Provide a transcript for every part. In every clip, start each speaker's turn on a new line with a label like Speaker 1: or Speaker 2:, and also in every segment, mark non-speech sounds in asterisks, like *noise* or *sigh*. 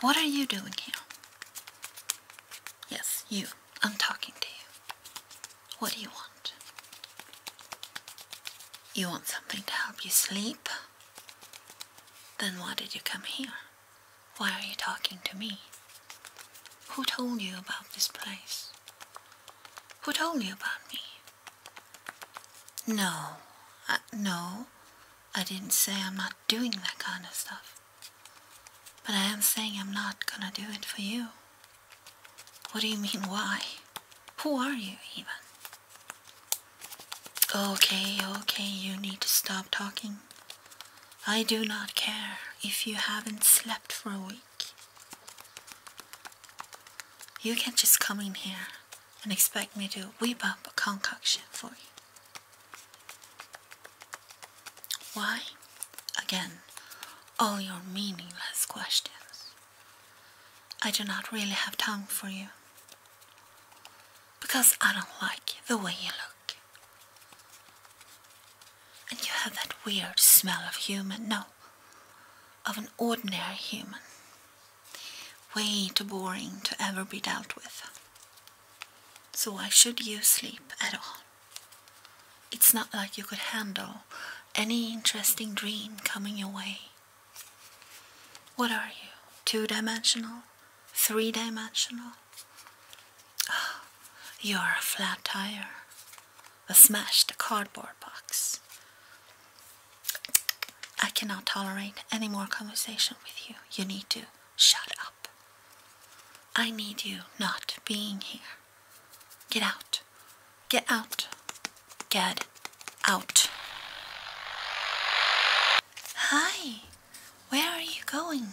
Speaker 1: What are you doing here? Yes, you. I'm talking to you. What do you want? You want something to help you sleep? Then why did you come here? Why are you talking to me? Who told you about this place? Who told you about me? No, uh, no, I didn't say I'm not doing that kind of stuff. But I am saying I'm not gonna do it for you. What do you mean, why? Who are you, even? Okay, okay, you need to stop talking. I do not care if you haven't slept for a week. You can just come in here and expect me to whip up a concoction for you. Why? Again, all your meaningless questions. I do not really have time for you. Because I don't like the way you look. And you have that weird smell of human, no, of an ordinary human way too boring to ever be dealt with. So why should you sleep at all? It's not like you could handle any interesting dream coming your way. What are you? Two dimensional? Three dimensional? Oh, ah, you're a flat tire, a smashed cardboard box. I cannot tolerate any more conversation with you. You need to shut up. I need you not being here. Get out. Get out. Get out. Hi. Where are you going?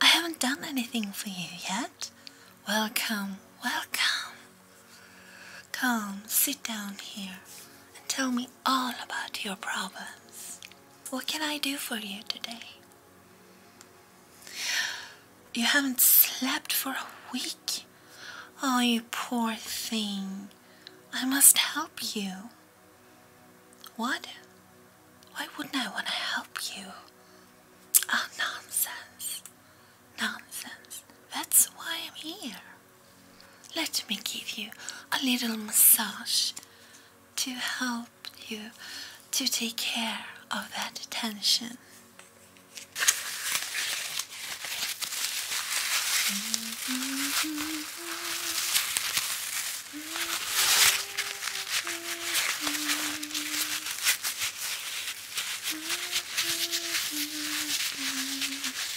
Speaker 1: I haven't done anything for you yet. Welcome, welcome. Come, sit down here and tell me all about your problems. What can I do for you today? You haven't slept for a week? Oh, you poor thing. I must help you. What? Why wouldn't I want to help you? Oh, nonsense. Nonsense. That's why I'm here. Let me give you a little massage to help you to take care of that tension. *laughs*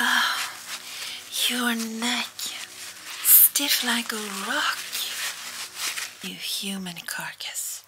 Speaker 1: Oh, your neck, stiff like a rock. You human carcass,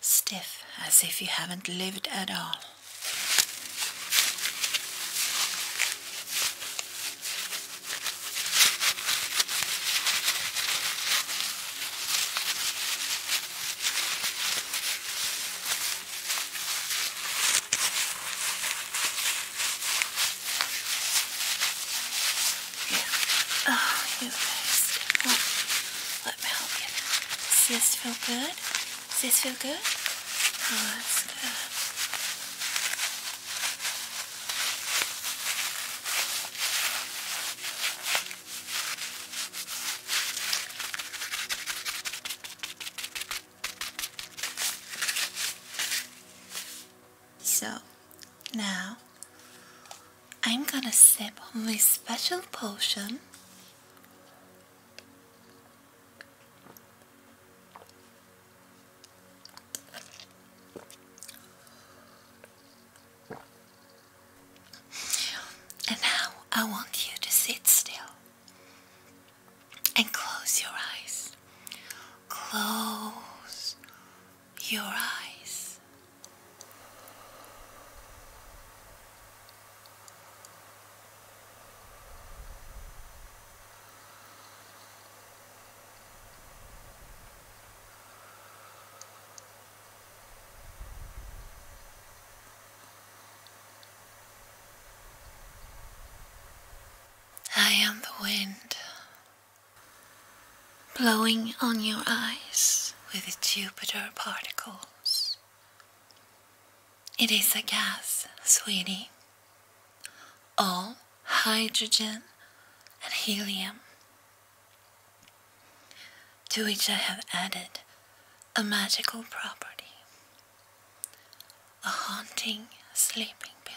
Speaker 1: stiff as if you haven't lived at all. Yeah. Oh, you guys. Well, let me help you. Does this feel good? Does this feel good? Oh, that's good. So, now I'm gonna sip on this special potion. And now I want you to sit still and close your eyes. Close your eyes. I am the wind blowing on your eyes with Jupiter particles. It is a gas, sweetie. All hydrogen and helium. To which I have added a magical property a haunting sleeping pill.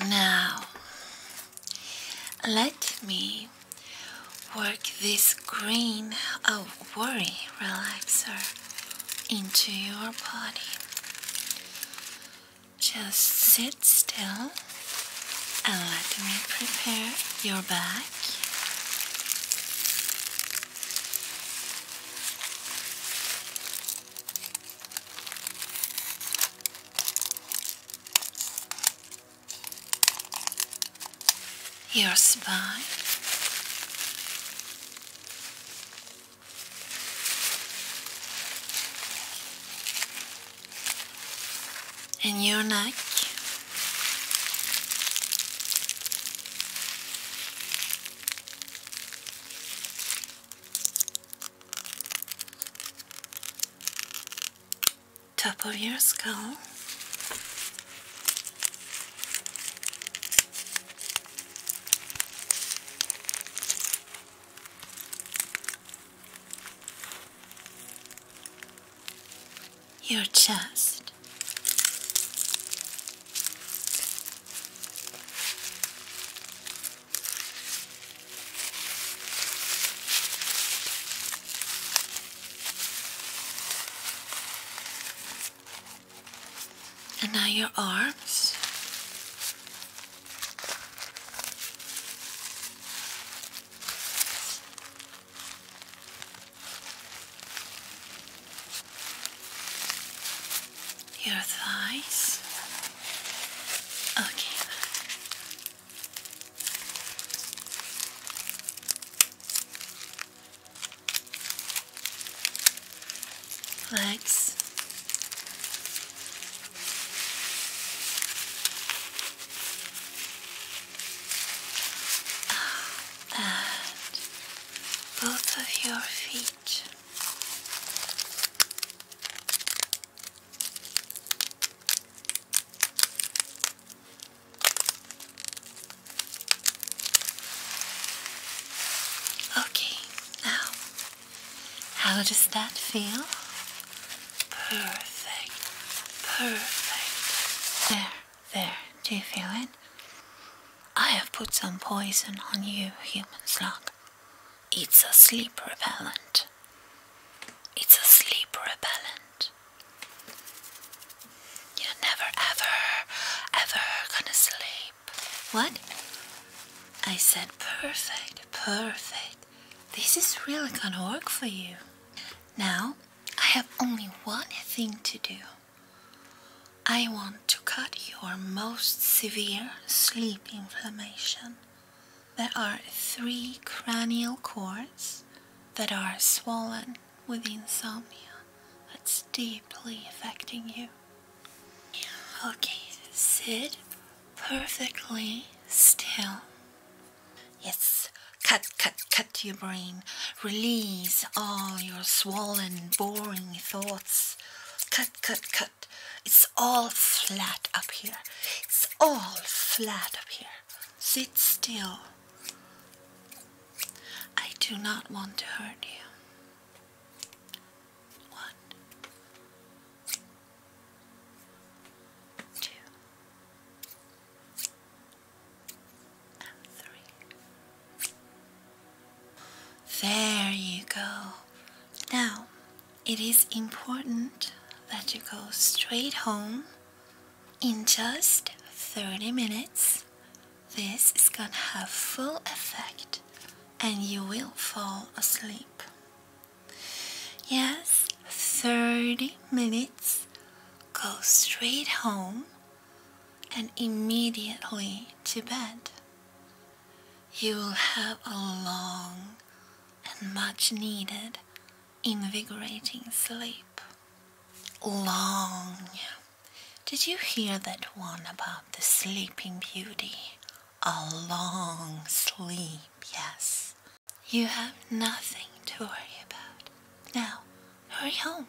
Speaker 1: Now, let me work this green of worry relaxer into your body. Just sit still and let me prepare your back. Your spine. And your neck top of your skull. Your chest, and now your arms your thighs. Okay. Legs. Ah, and both of your feet. Okay, now, how does that feel? Perfect, perfect. There, there, do you feel it? I have put some poison on you, human slug. It's a sleep repellent. It's a sleep repellent. You're never, ever, ever gonna sleep. What? I said, perfect, perfect. This is really gonna work for you. Now, I have only one thing to do. I want to cut your most severe sleep inflammation. There are three cranial cords that are swollen with insomnia that's deeply affecting you. Okay, sit perfectly still. Yes, cut, cut, cut your brain. Release all your swollen, boring thoughts Cut, cut, cut. It's all flat up here. It's all flat up here. Sit still. I do not want to hurt you. One, two, and three. There you go. Now, it is important that you go straight home in just 30 minutes. This is gonna have full effect and you will fall asleep. Yes, 30 minutes. Go straight home and immediately to bed. You will have a long and much needed invigorating sleep. Long. Did you hear that one about the sleeping beauty? A long sleep, yes. You have nothing to worry about. Now, hurry home.